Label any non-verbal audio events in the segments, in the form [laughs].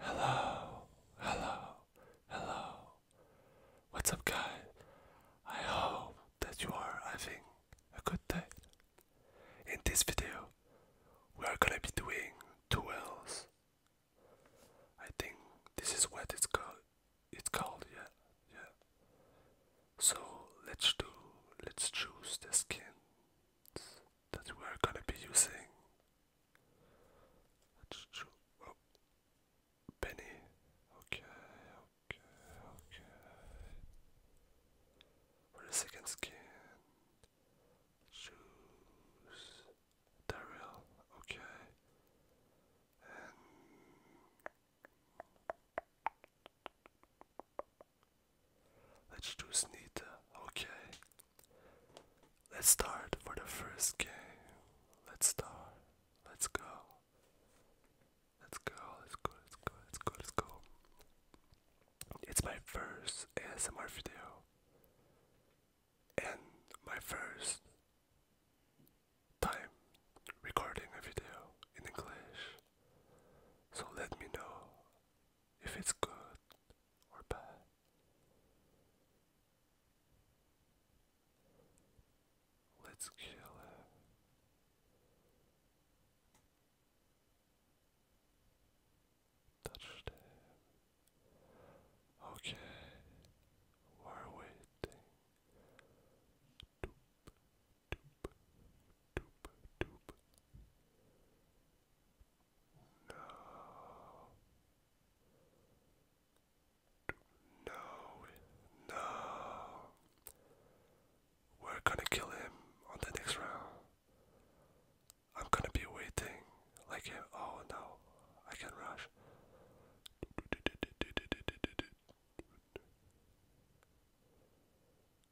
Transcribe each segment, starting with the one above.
Hello, hello, hello. What's up, guys? I hope that you are having a good day. In this video, we are gonna be doing duels. I think this is what it's called. It's called, yeah, yeah. So let's do, let's choose the skins that we are gonna be using Oh. Okay, okay, okay. For the second skin. Choose Daryl. Okay. Let's choose Nita. Okay. Let's start for the first game. Let's start. Let's go. Let's go. Let's go. Let's go. Let's go. Let's go. It's my first ASMR video. And my first time recording a video in English. So let me know if it's good or bad. Let's kill her. Touched him. Okay, we're waiting. Doop, doop, doop, doop. No. No. We're gonna kill him on the next round. I'm gonna be waiting like Oh no, I can rush.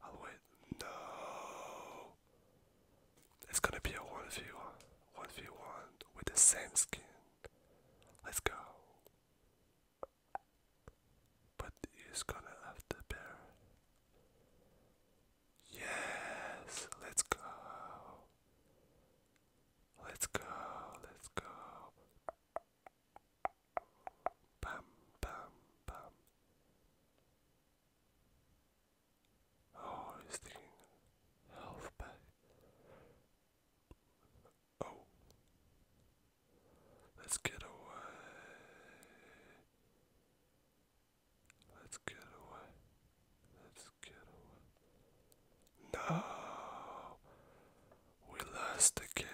I'll No. It's gonna be a 1v1. 1v1 with the same skin. Let's go. But he's gonna have the bear. Yes, let's go. Let's go, let's go. Bam, bam, bam. Oh, he's taking Oh. Let's get away. Let's get away. Let's get away. No! We lost again.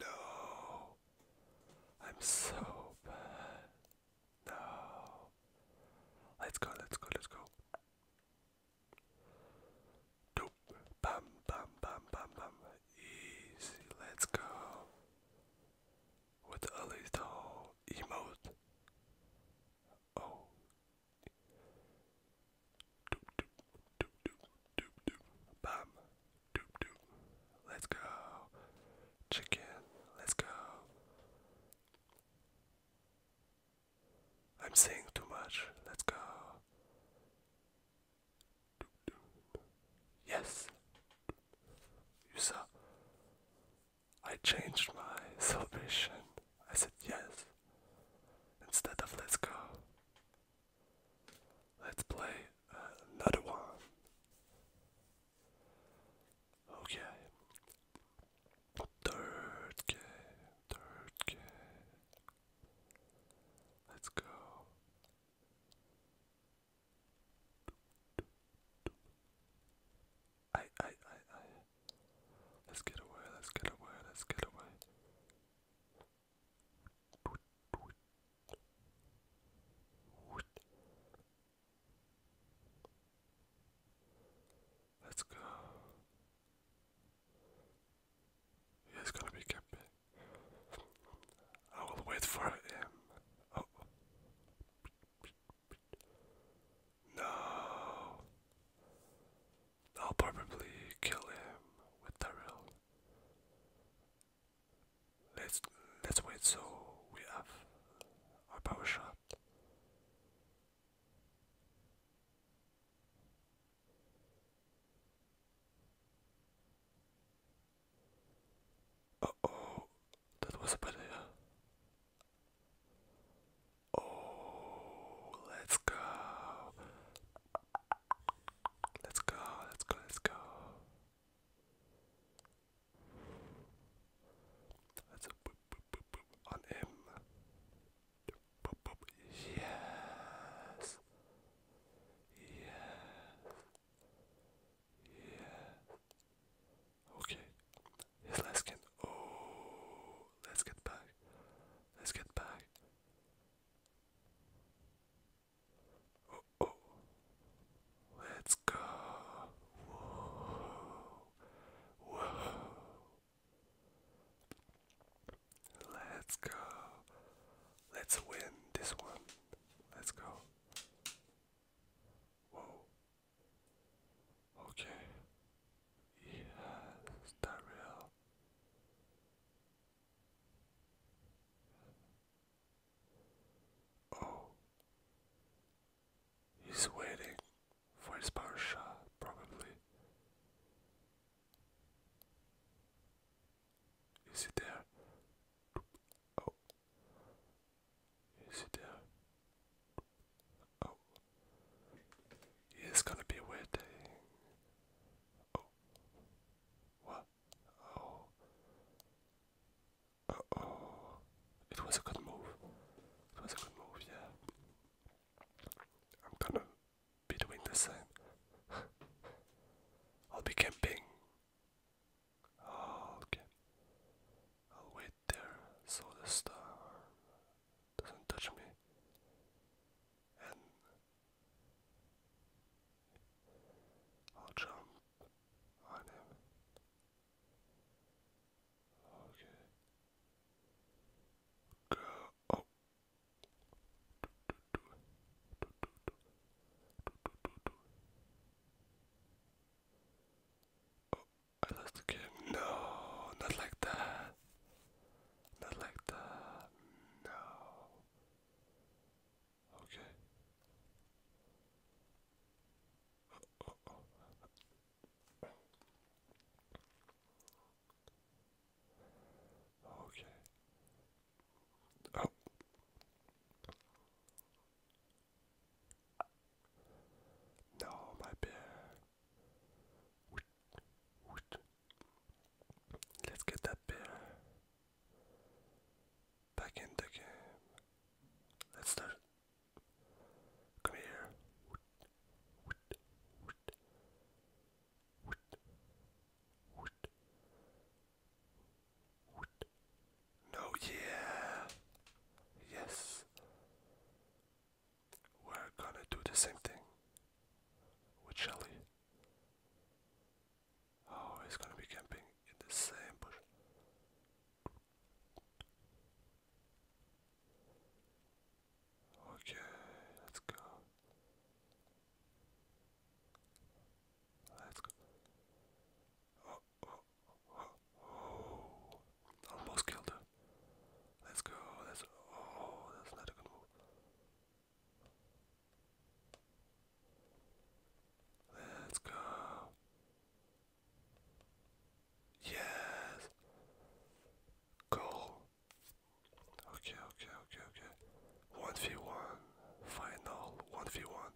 no. I'm so bad. No. Let's go, let's go, let's go. Doop. Bam, bam, bam, bam, bam. Easy, let's go. With a little emote. Oh. Doop, doop, doop, doop, doop, doop. Bam. Doop doop. Let's go. Chicken. Let's go. I'm saying too much. Let's go. Doop, doop. Yes. You saw. I changed my [laughs] salvation. I said yes. Instead of let's go. Let's play uh, another one. Okay. Third game. Third game. Let's go. I, I, I, I. Let's get away, let's get away, let's get away. Let's go. He's gonna be camping. I will wait for him. Oh. No. I'll probably kill him with the Let's let's wait so we have our power shot. Uh oh, that was a bad Oh, let's go. Let's go, let's go, let's go. Let's boop, on him. Yes. Yes. Yeah. Okay. His last skin. Oh, let's get back. Let's get back. Let's go. Whoa. Let's go. Let's win this one. Let's go. Whoa. Okay. Yes, Darrell. Oh, he's waiting for his power shot, probably. Is he there? Oh, is he there? Oh. It's gonna be a weird day. Oh. What? Oh. oh. It was a good move. It was a good move, yeah. I'm gonna be doing the same. [laughs] I'll be camping. Oh, okay. I'll wait there, so the storm doesn't touch me. And I'll jump on him. Okay. Go. Oh. I lost the game. No, not like that. Not like that. No. Okay. Okay. Oh. No, my bear. Let's get that bill back in the game. Let's start. Come here. No, yeah. Yes we're gonna do the same thing with Shelly. Oh, he's gonna be camping in the same bush. Okay, let's go. Let's go. Oh, oh. Oh, almost killed her. Let's go. That's oh, that's not a good move. Let's go. Yes. Goal. Okay, okay, okay, okay. One v one. Final. One v one.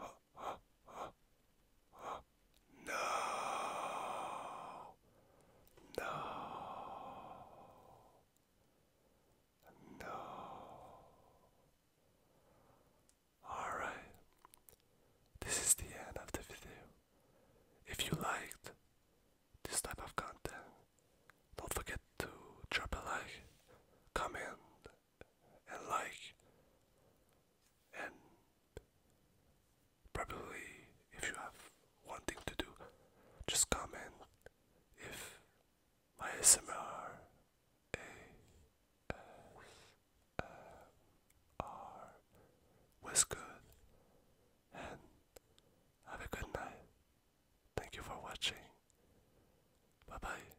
Oh. No. No. No. Alright. This is the end of the video. If you liked this type of content, don't forget to drop a like, comment, and like and probably if you have one thing to do just comment if my SMR was good and have a good night. Thank you for watching. Bye bye.